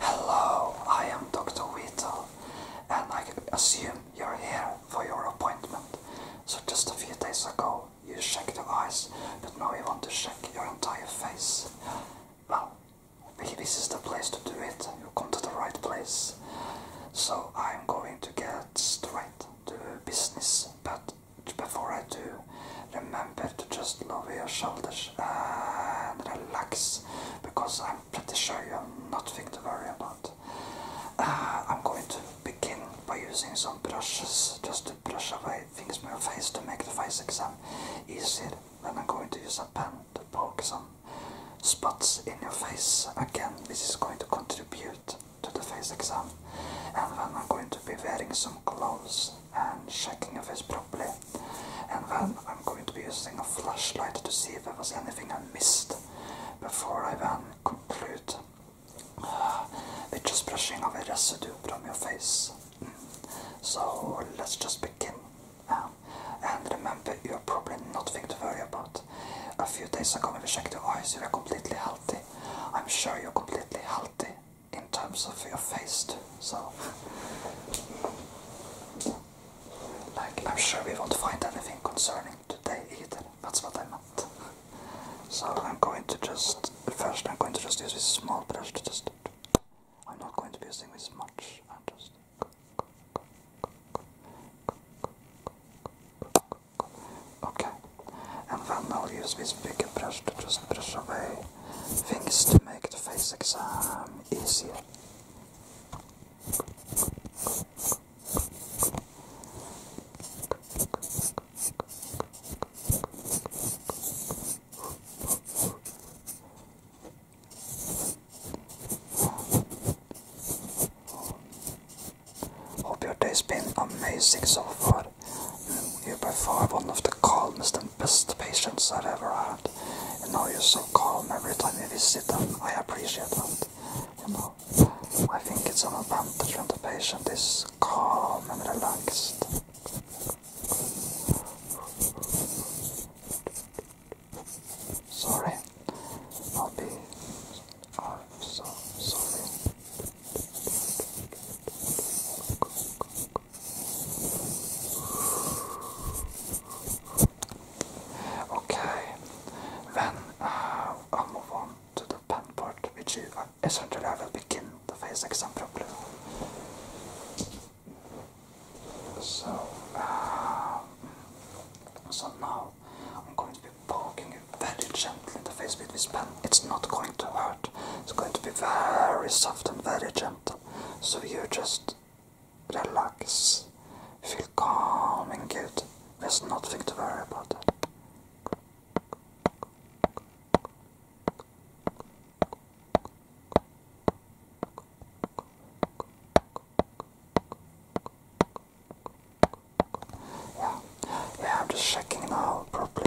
Hello, I am Dr. Weetle, and I assume you're here for your appointment. So just a few days ago, you checked your eyes, but now you want to check your entire face. Well, this is the place to do it. You come to the right place. So I'm going to get straight to business, but before I do, remember remember to just lower your shoulders and relax because I'm pretty sure you have nothing to worry about. Uh, I'm going to begin by using some brushes just to brush away things from your face to make the face exam easier. Then I'm going to use a pen to poke some spots in your face. Again, this is going to contribute to the face exam. And then I'm going to be wearing some clothes and checking of his properly. And then I'm going to be using a flashlight to see if there was anything I missed before I then complete. uh, with just brushing away residue from your face. So let's just begin. Um, and remember, you're probably nothing to worry about. A few days ago when we checked your eyes, you were completely healthy. I'm sure you're completely healthy in terms of your face So, like, I'm sure we won't find anything concerning today either. That's what I meant. So I'm going to just first I'm going to just use this small brush to just. I'm not going to be using this much. I'm just. Okay, and then I'll use this bigger brush to just brush away things to make the face exam easier. Hope your day's been amazing so far. You're by far one of the calmest and best patients I've ever had. And now you're so calm every time you visit them. I appreciate that. You know, I think it's an advantage when the patient is calm and relaxed. Sorry, I'll be. I'm oh, so sorry. Okay, then uh, i move on to the pen part, which is, uh, I will begin the face exam properly. So, uh, so now I'm going to be poking it very gently in the face with this pen. It's not going to hurt. It's going to be very soft and very gentle. So you just relax, feel calm and good. There's nothing to worry about. Yeah, yeah, I'm just checking now properly.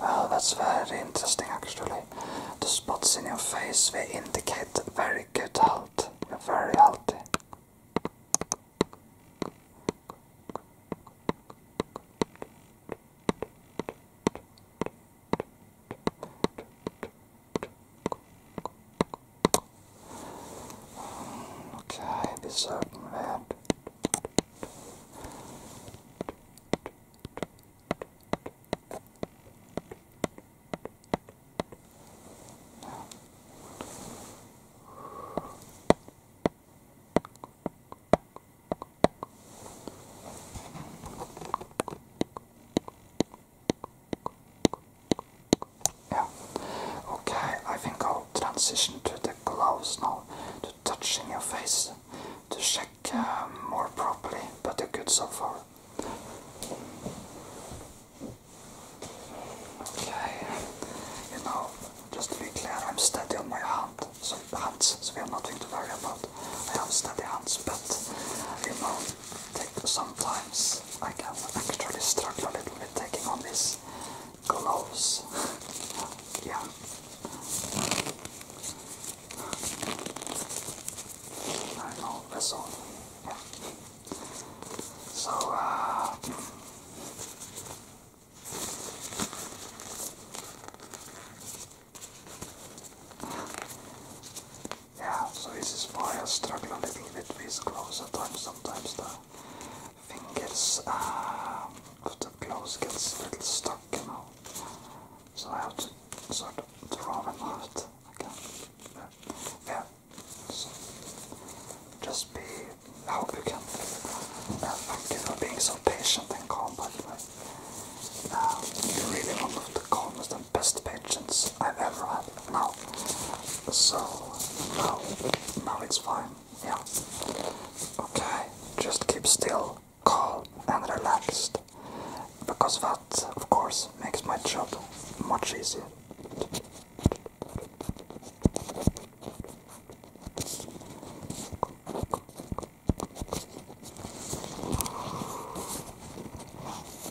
Well, that's very interesting actually. The spots in your face they indicate very good health. You're very healthy. Okay, this circumvent. Yeah. Okay, I think I'll transition to the gloves now, to touching your face, to check uh, more properly, but you good so far. Okay, you know, just to be clear, I'm steady on my hand, so hands, so we have nothing to about. I have steady hands, but you know, sometimes I can actually struggle a little bit taking on these clothes. yeah. I know, that's Yeah. So, uh, yeah, so this is why I struggle a little bit with gloves at Sometimes the fingers uh, of the gloves gets a little stuck, you know. So I have to sort of draw them out again. Yeah, So just be. I hope you can. Uh, thank you for being so patient and calm, by um, you really one of the calmest and best patients I've ever had. No. So, no. No, it's fine. Yeah. Okay. Just keep still, calm, and relaxed. Because that, of course, makes my job much easier.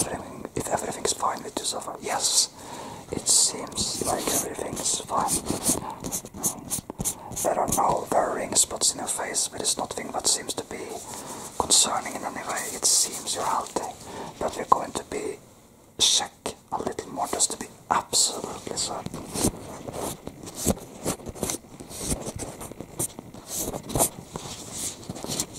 Everything, if everything's fine with Yusafa, yes, it seems like everything is fine. There are no worrying spots in your face, but it's nothing that seems to be concerning in any way. It seems you're healthy, but we're going to be check a little more just to be absolutely certain.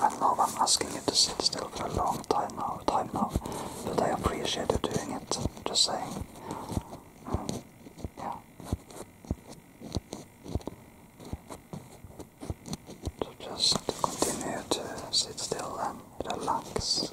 I know I'm asking you to sit still for a long time now, time now, but I appreciate you doing it. Just saying. Mm, yeah. just continue to sit still and relax.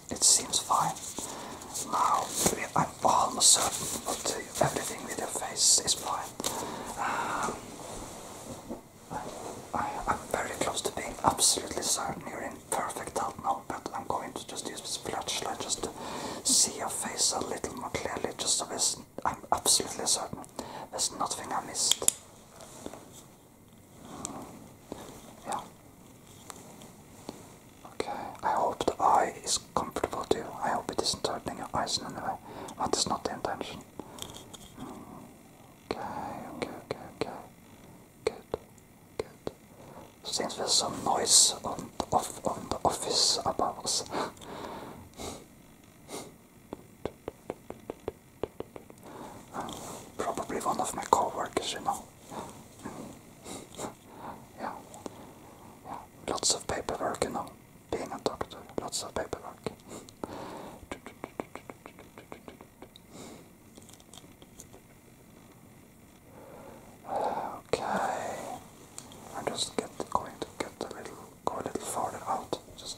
it seems fine. Now, I'm almost certain but everything with your face is fine. Um, I, am very close to being absolutely certain you're in perfect health now, but I'm going to just use this flashlight just to see your face a little more clearly, just so I'm absolutely certain there's nothing I missed. Yeah. Okay, I hope the eye is comfortable too. I hope it isn't hurting your eyes in any way. That is not the intention. Mm, okay, okay, okay, okay. Good, good. Since there's some noise on on the office above us. Probably one of my co-workers, you know. yeah. yeah, lots of paperwork, you know. Being a doctor, lots of paperwork. okay, I'm just get, going to get a little, go a little farther out. Just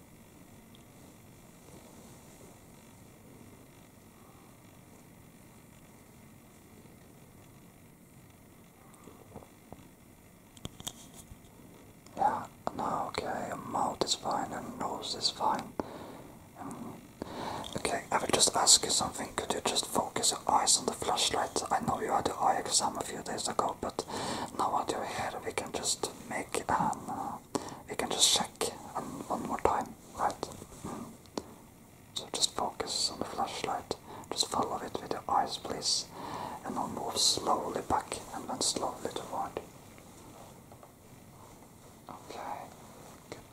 Yeah, no, okay, mouth is fine nose is fine. Um, okay, I will just ask you something. Could you just focus your eyes on the flashlight? I know you had the eye exam a few days ago, but now that you're here, we can just make an. Uh, uh, we can just check um, one more time, right? Mm. So just focus on the flashlight, just follow it with your eyes, please, and then move slowly back and then slowly toward. Okay, good.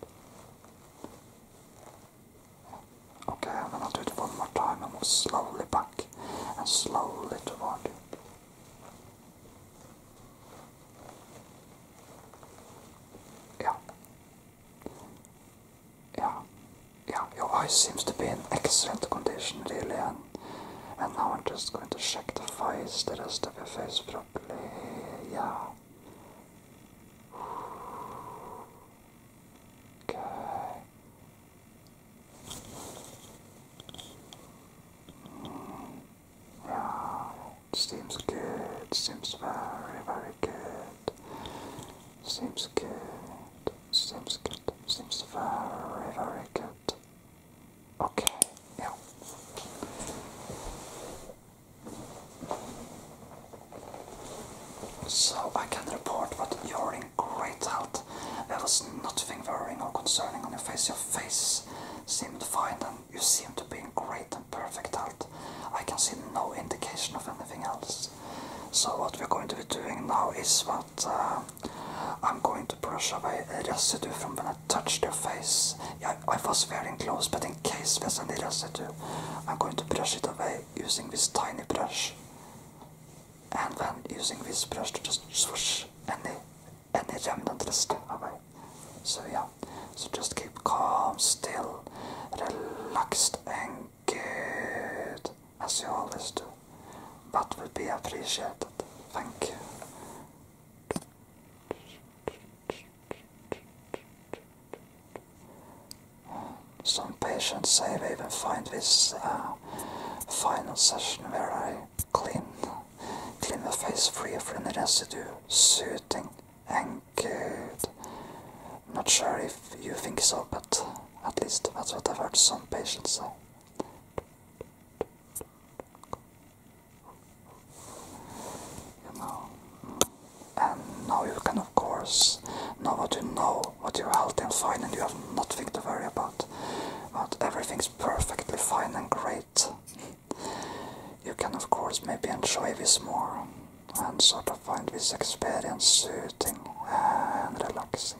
Okay, and then I'll do it one more time and move slowly back and slowly toward you. Yeah. Yeah. Yeah, your eyes seems to be in excellent condition, really. And, now I'm just going to check the face, the rest of your face properly. Yeah. Okay. Yeah, seems good, seems very, very good. Seems good, seems good, seems very, very good. Okay, yeah. So I can report that you're in great health. There was nothing worrying or concerning on your face. Your face seemed fine and you seem to be in great and perfect health. I can see no indication of anything else. So what we're going to be doing now is what uh, I'm going to brush away residue from when I touched your face. I was wearing gloves, but in case there's any residue, I'm going to brush it away using this tiny brush. And then using this brush to just swoosh any and they jump into the step away. So yeah, so just keep calm, still, relaxed and good, as you always do. That would be appreciated. Thank you. Some patients say they even find this uh, final session where I clean, clean the face free of any residue, soothing and good. Not sure if you think so, but at least that's what i heard some patients say. You know, and now you can of course, now that you know what your health is fine, and you have nothing to worry about not everything's perfectly fine and great. You can, of course, maybe enjoy this more and sort of find this experience soothing and relaxing.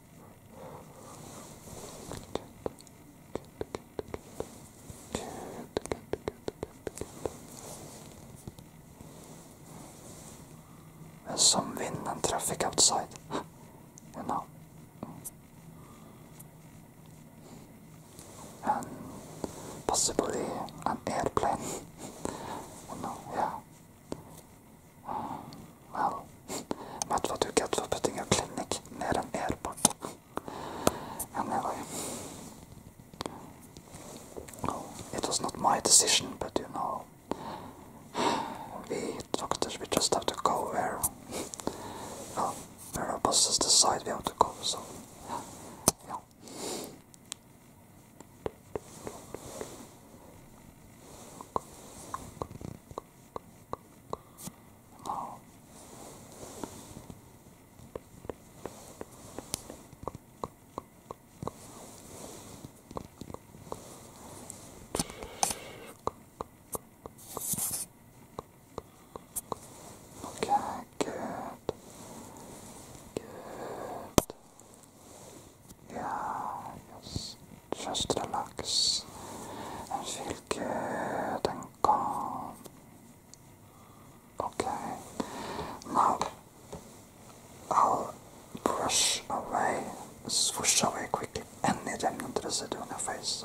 There's some wind and traffic outside. you know. And possibly an airplane. you know, yeah. Um, well, Wow. Matt var get för putting a Clinic near än airport? it was not my decision, but you know. We doctors, we just have to go where, well, where our bosses decide we have to go, so, もう OK good good yes just relax and feel good and calm. Okay, now I'll brush away, swoosh away quickly any remnant residue on your face.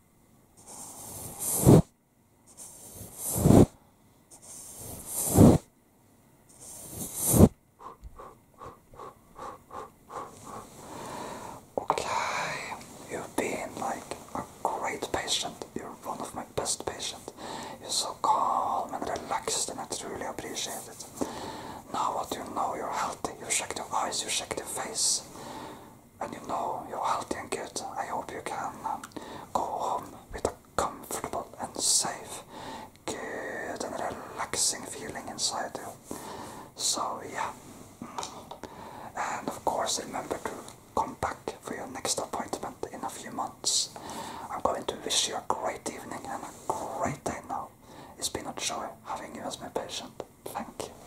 Okay, you've been like a great patient. You're one of my best patients. You're so calm and relaxed, and I truly appreciate it. Now, what you know, you're healthy. You checked your eyes, you checked your face and you know you're healthy and good, I hope you can um, go home with a comfortable and safe, good and relaxing feeling inside you. So, yeah. And of course, remember to come back for your next appointment in a few months. I'm going to wish you a great evening and a great day now. It's been a joy having you as my patient. Thank you.